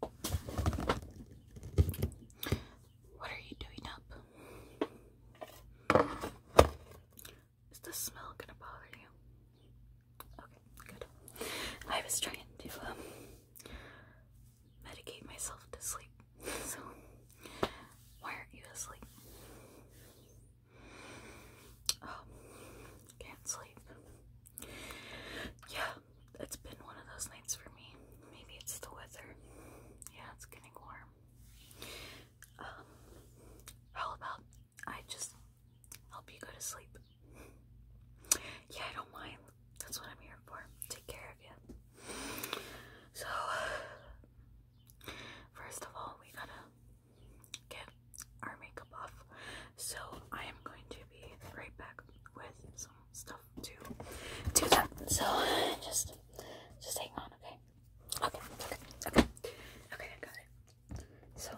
What are you doing up? Is the smell gonna bother you? Okay, good. I was trying to um, medicate myself to sleep. So why aren't you asleep? Oh, can't sleep. Yeah, it's been one of those nights for me. Maybe it's the weather. Yeah, it's getting warm. Um, about I just help you go to sleep? Yeah, I don't mind. That's what I'm here for. Take care of you. So, first of all, we gotta get our makeup off. So I am going to be right back with some stuff to do that. So just just hang on, okay? Okay, okay, okay. Okay, I got it. So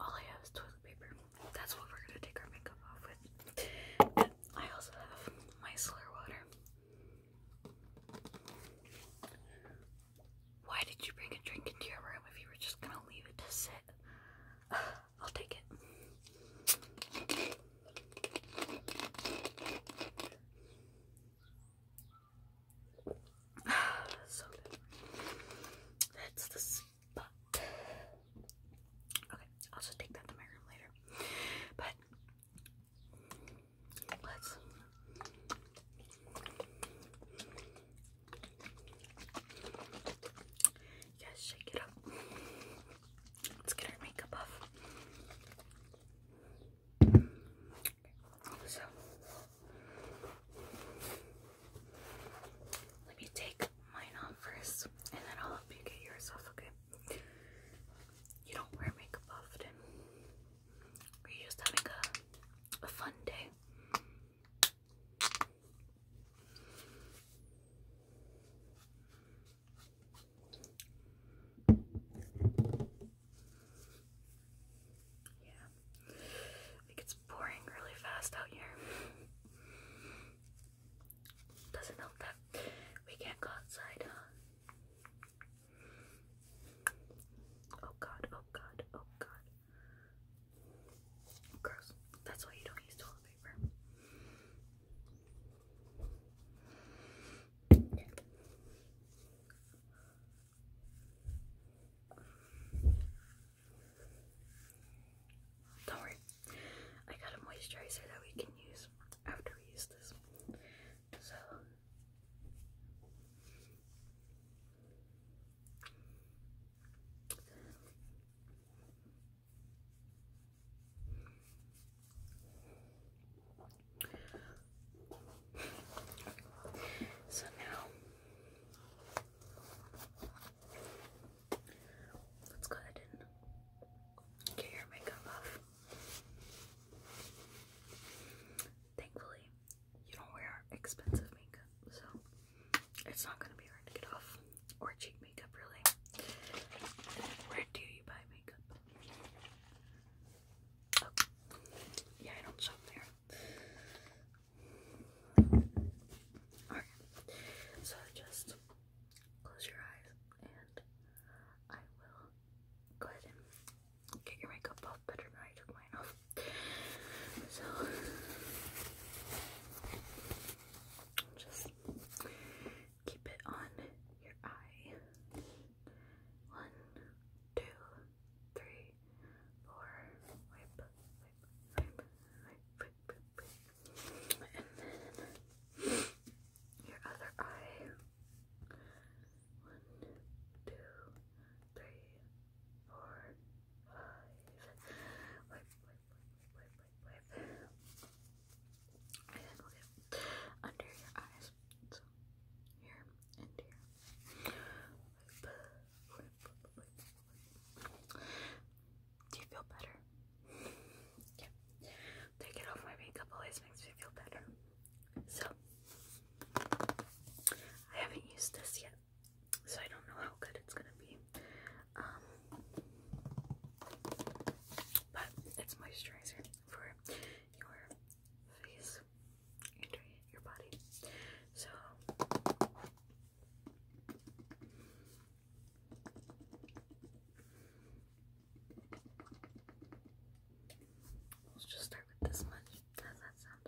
all I have is toilet paper. That's what we're gonna take our makeup off with. I also have my slur water. Why did you bring a drink into your room if you were just gonna leave it to sit? I'll take it. That's the spot. Okay, I'll just take that to my room later. But let's Yes, shake it up. Let's get our makeup off. So let me take mine off first and then I'll help you get yours off, okay? You don't wear makeup often. We're just having a, a fun day. Yeah, I it's pouring really fast out here. Doesn't help that we can't go outside, Oh god, oh god, oh god. Gross. That's why you don't use toilet paper. Yeah. Don't worry, I got a moisturizer that we can use after we use this. So so now let's go ahead and get your makeup off. Thankfully, you don't wear expensive makeup, so it's not gonna be hard to get off. Or cheap makeup, really. Where do you buy makeup? Oh, yeah, I don't shop there. Alright, so just close your eyes and I will go ahead and get your makeup off better than I took mine off. So, just keep it on your eye. One, two, three, four, wipe, wipe, wipe, wipe, and then your other eye. One, two, three, four, five. Wipe, wipe, wipe, wipe, wipe, wipe. under your eyes. here and here. Do you feel better? Yeah. Taking off my makeup always makes me feel better. So, I haven't used this yet, so I don't know how good it's gonna be. Um, but it's moisturizer for your face and your body. So, Let's just start with this much. How's that sound?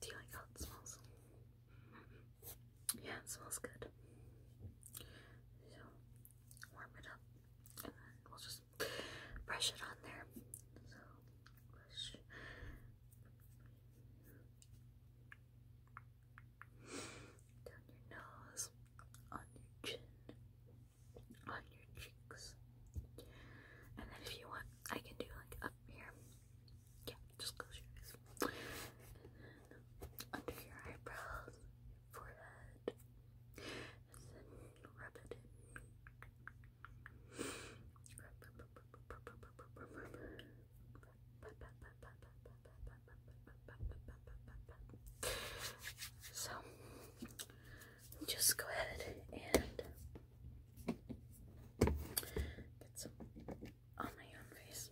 Do you like how it smells? Yeah, it smells good. So, warm it up, and then we'll just brush it on there. So, brush down your nose, on your chin, on your cheeks. And then if you want, I can do like up here. Yeah, just close your eyes. under your eyebrows, forehead, and then rub it in. So just go ahead and get some on my own face.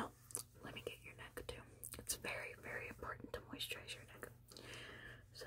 Oh, let me get your neck too. It's very, very important to moisturize your neck. So,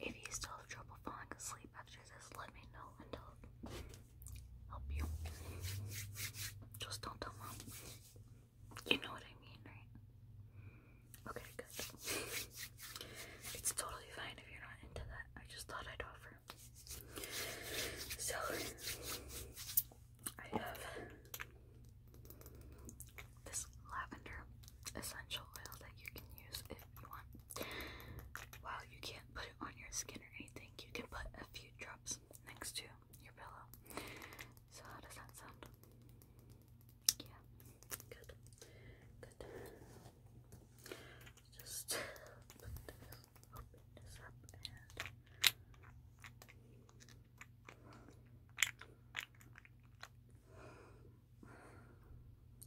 If you still have trouble falling asleep after this, let me know and I'll help you. Just don't tell mom. You know what I mean, right? Okay, good. It's totally fine if you're not into that. I just thought I'd offer. So, I have this lavender essential oil that you can use if you want. While you can't put it on your skin or anything, you can put a few drops next to your pillow. So, how does that sound? Yeah, good. Good. Just put this open this up and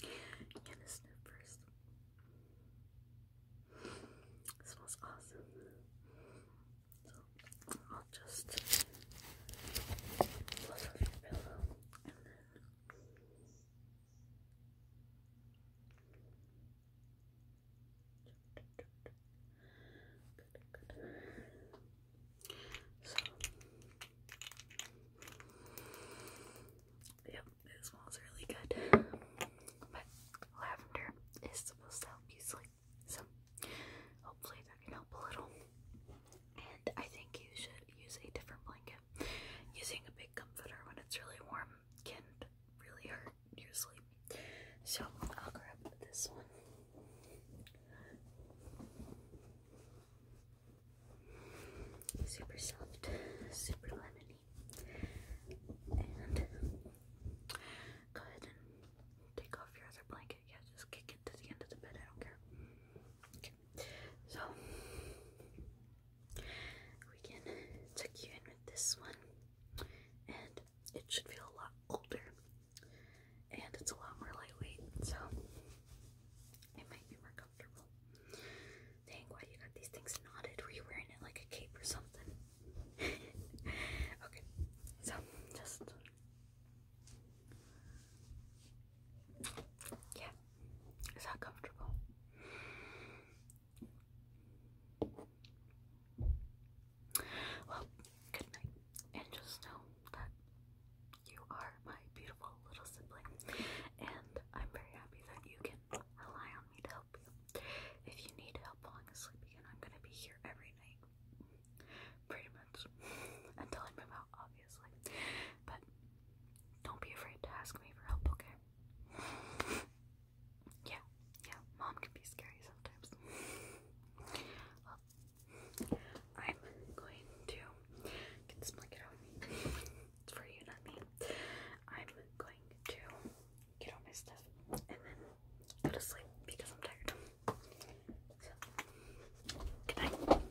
yeah, the sniff first. smells awesome. So I'll just pull off your pillow and then. So, yep, it smells really good. But lavender is supposed to help you sleep, so hopefully that can help a little. And I think you should use a different blanket. Using a big comforter when it's really warm can really hurt usually. So I'll grab this one. Super soft, super lemony. And go ahead and take off your other blanket. Yeah, just kick it to the end of the bed. I don't care. Okay. So we can tuck you in with this one, and it should feel a lot older, and it's a lot more lightweight, so it might be more comfortable. Dang, why you got these things knotted? Were you wearing it like a cape or something? okay, so just yeah, is that comfortable? Well, good night. And just know that you are my beautiful little sibling. And I'm very happy that you can rely on me to help you. If you need help falling asleep again, I'm going to be here every night. Pretty much. Until I move out, obviously. But don't be afraid to ask me for help, okay? yeah, yeah, mom can be scary sometimes. I'm going to get this blanket off It's for you, not me. I'm going to get all my stuff and then go to sleep because I'm tired. good night.